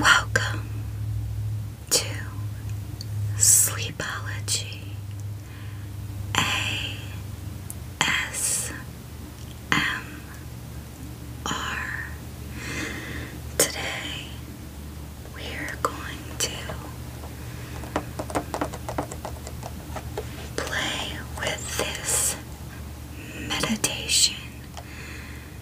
Welcome to Sleepology ASMR. Today we are going to play with this meditation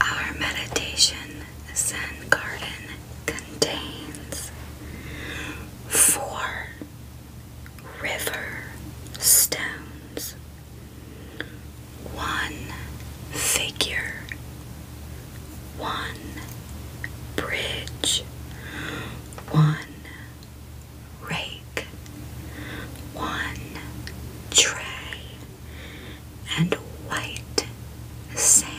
Our meditation Zen garden contains four river stones one figure, one bridge, one rake, one tray, and white sand.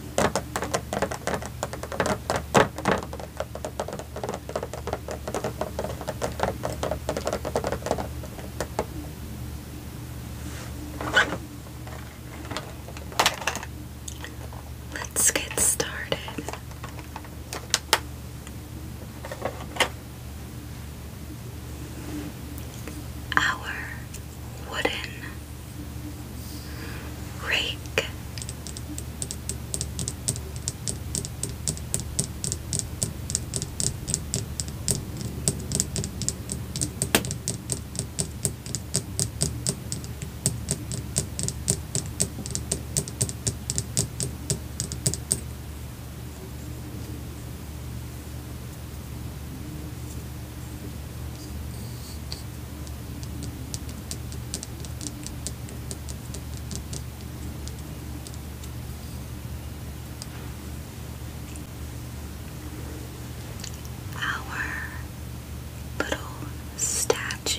Let's get started. Our wooden rake our little statue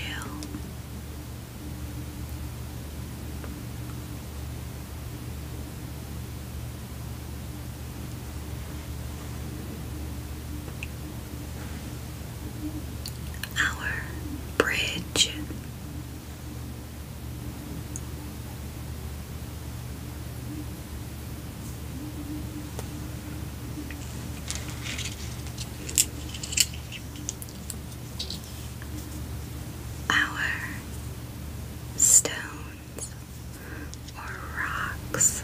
our bridge. Our stones or rocks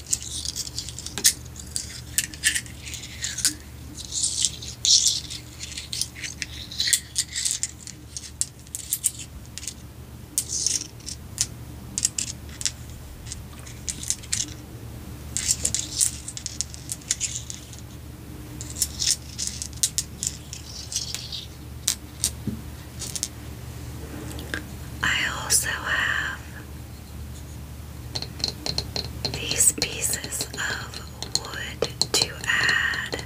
I also have these pieces of wood to add.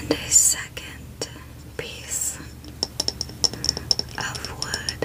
And a second piece of wood.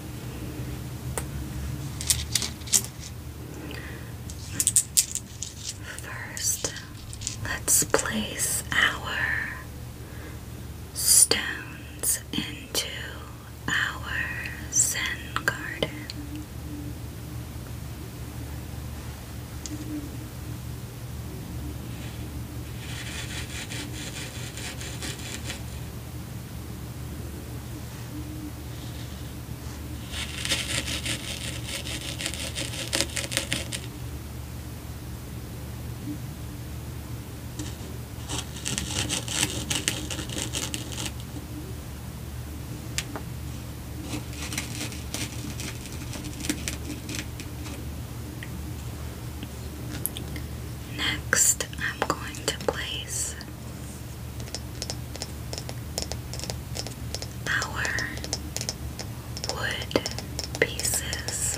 First, let's place our stones into our Zen garden. Next, I'm going to place our wood pieces.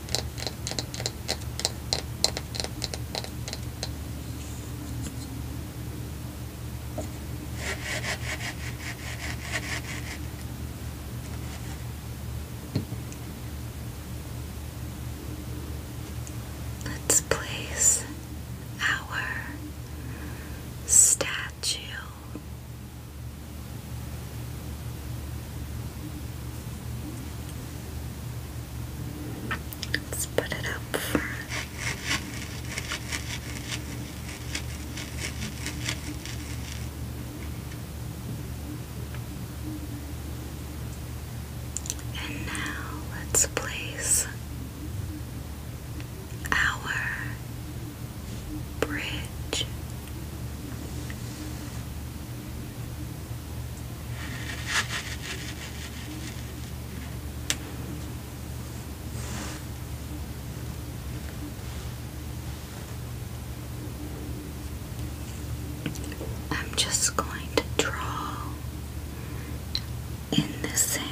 Let's place our statue Let's put it up front. And now let's place our bridge I'm just going to draw in the sand.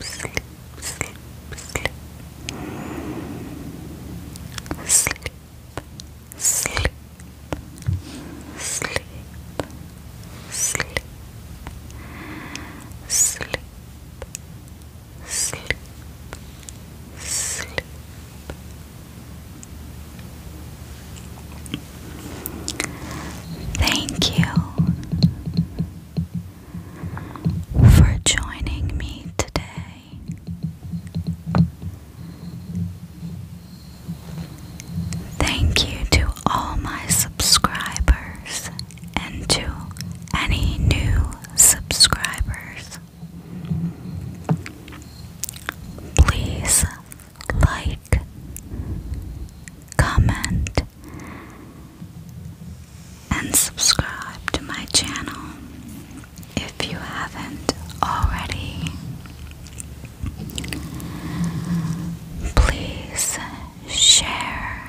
sleep, sleep, sleep. Sleep, sleep, sleep, sleep, sleep, sleep, sleep. Thank you for joining me today. Thank you to all my subscribers and to any new subscribers. Please like, comment, and subscribe to my channel if you haven't already. Please share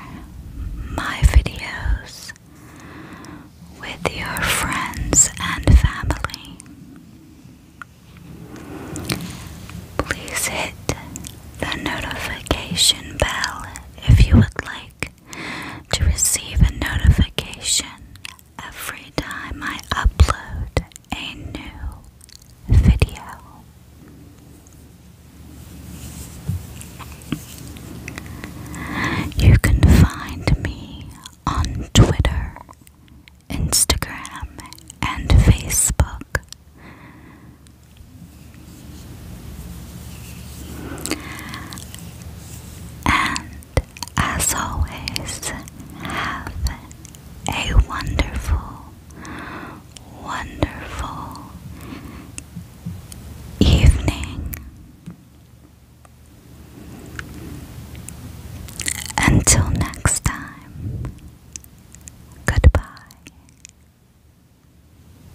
my videos with your friends and family. Please hit the notification bell if you would like to receive a notification every time I upload a new video. You can find me on Twitter, Instagram, and Facebook and as always, have a wonderful, wonderful evening. Until next time, goodbye.